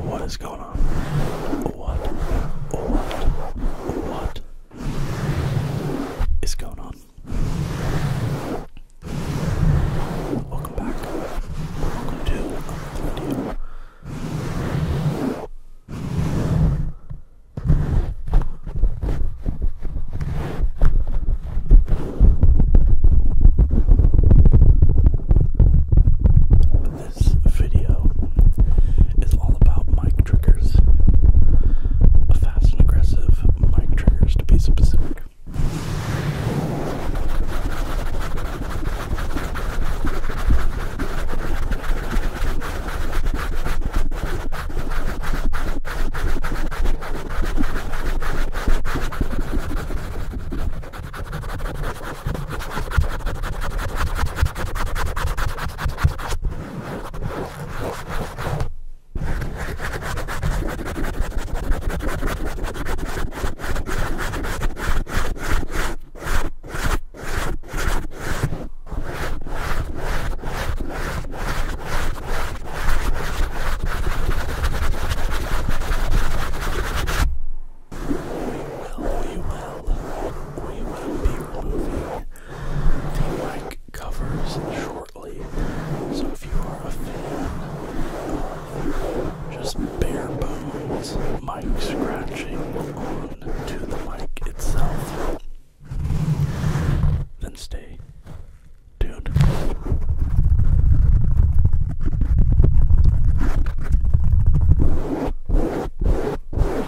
What is going on? What? What? What? is going on? Welcome back. Welcome to This video is all about my mic triggers. A fast and aggressive mic triggers, to be specific. We will, we will, we will be removing the mic covers shortly. So if you are a fan, just bare bones mic scratching on to the mic itself, then stay tuned.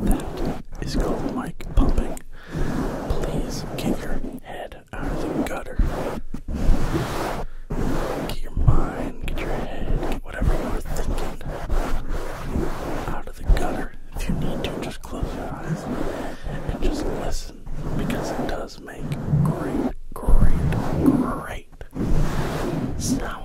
That is called mic pumping. Please get your head out of the gutter. Get your mind, get your head, get whatever you are thinking out of the gutter. If you need to, just close your eyes and just listen because it does make great, great, great sounds.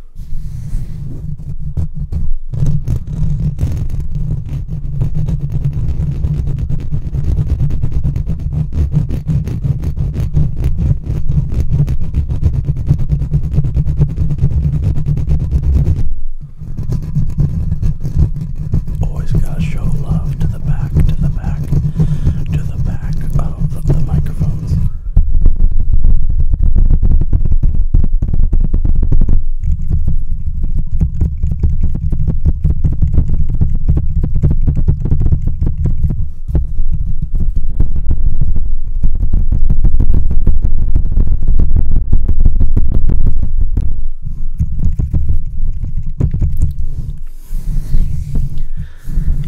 Always gotta show love to the back, to the back, to the back of the, microphones.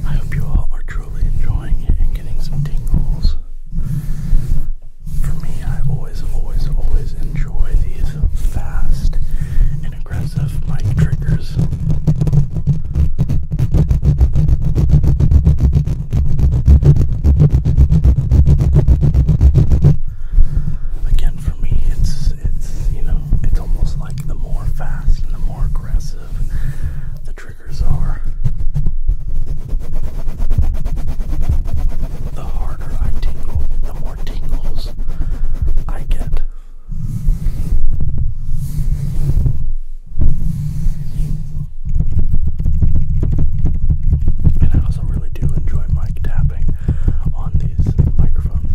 I hope you all are truly enjoying it and getting some tingles. For me, I always, always, always enjoy these fast and aggressive mic triggers. Again, for me, it's it's you know it's almost like the more fast and the more aggressive the triggers are, the harder I tingle, the more tingles I get. And I also really do enjoy mic tapping on these microphones.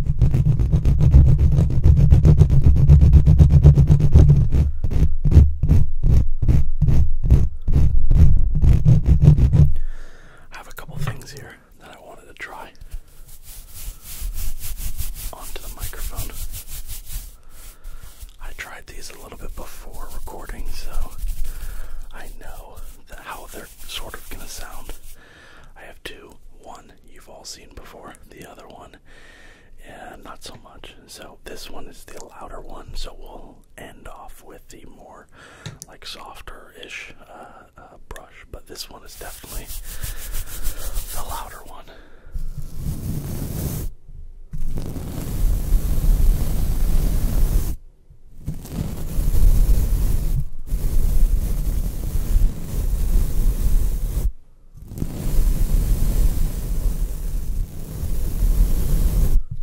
I have a couple things here that I wanted to try onto the microphone. I tried these a little bit before recording, so I know how they're sort of gonna sound. I have two. One you've all seen before. The other one, yeah, not so much. So this one is the louder one. So we'll end off with the more like softer-ish uh, uh, brush, but this one is definitely the louder one.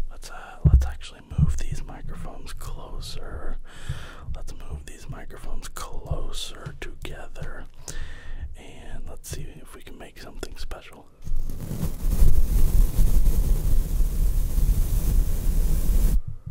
Let's uh, let's actually move these microphones closer. Let's move these microphones closer together, and let's see if we can make something special.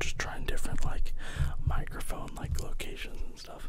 Just trying different like microphone like locations and stuff.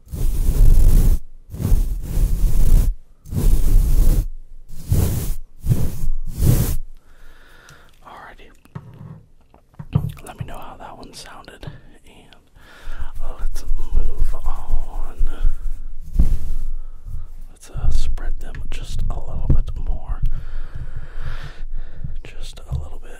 Alrighty. Let me know how that one sounded, and let's move on. Let's uh, spread them just a little bit more. Just a little bit.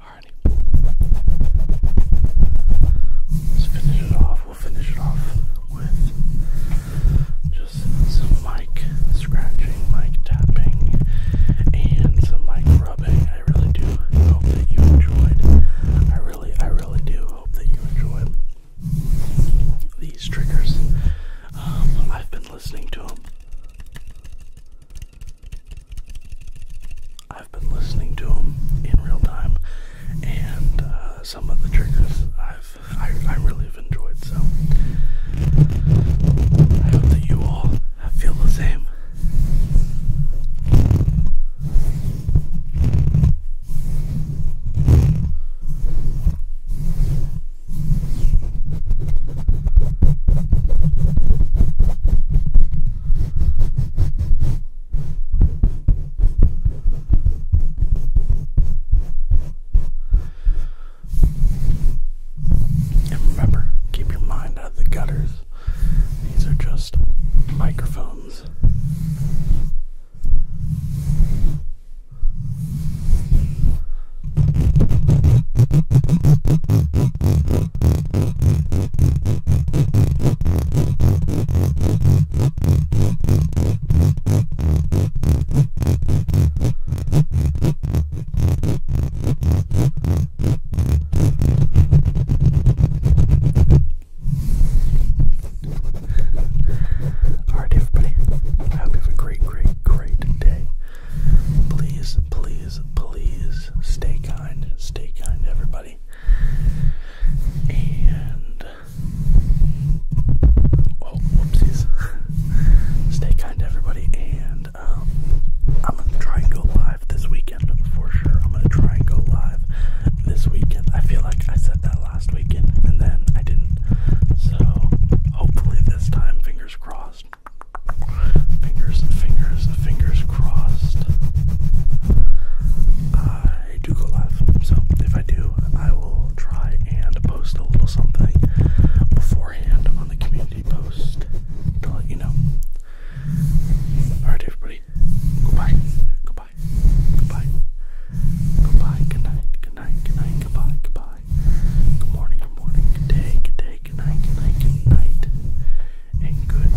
Alrighty. Let's finish it off finish it off with just some mic scratching, mic tapping, and some mic rubbing. I really do hope that you enjoyed. I really, I really do hope that you enjoyed these triggers. Um, I've been listening to them. I've been listening to them in real time and uh, some of the triggers I've I, I really have enjoyed. So I hope that you all feel the same. And remember, keep your mind out of the gutters. These are just microphones. Alright, everybody. I hope you have a great, great, great day. Please, please, please stay kind. Stay kind, everybody. And Oh, whoopsies. Stay kind to everybody, and um, I'm gonna try and go live this weekend for sure. I'm gonna try and go live this weekend. I feel like I said that last weekend, and then I didn't. So hopefully this time, fingers crossed. Fingers, fingers, fingers crossed. I I do go live. So if I do, I will try and post a little something beforehand on the community post to let you know. Alright, everybody. Goodbye. Goodbye. Goodbye. Goodbye. Good night. Good night. Good night. Goodbye. Goodbye. Good morning. Good morning. Good day. Good day. Good night. Good night. Good night. And good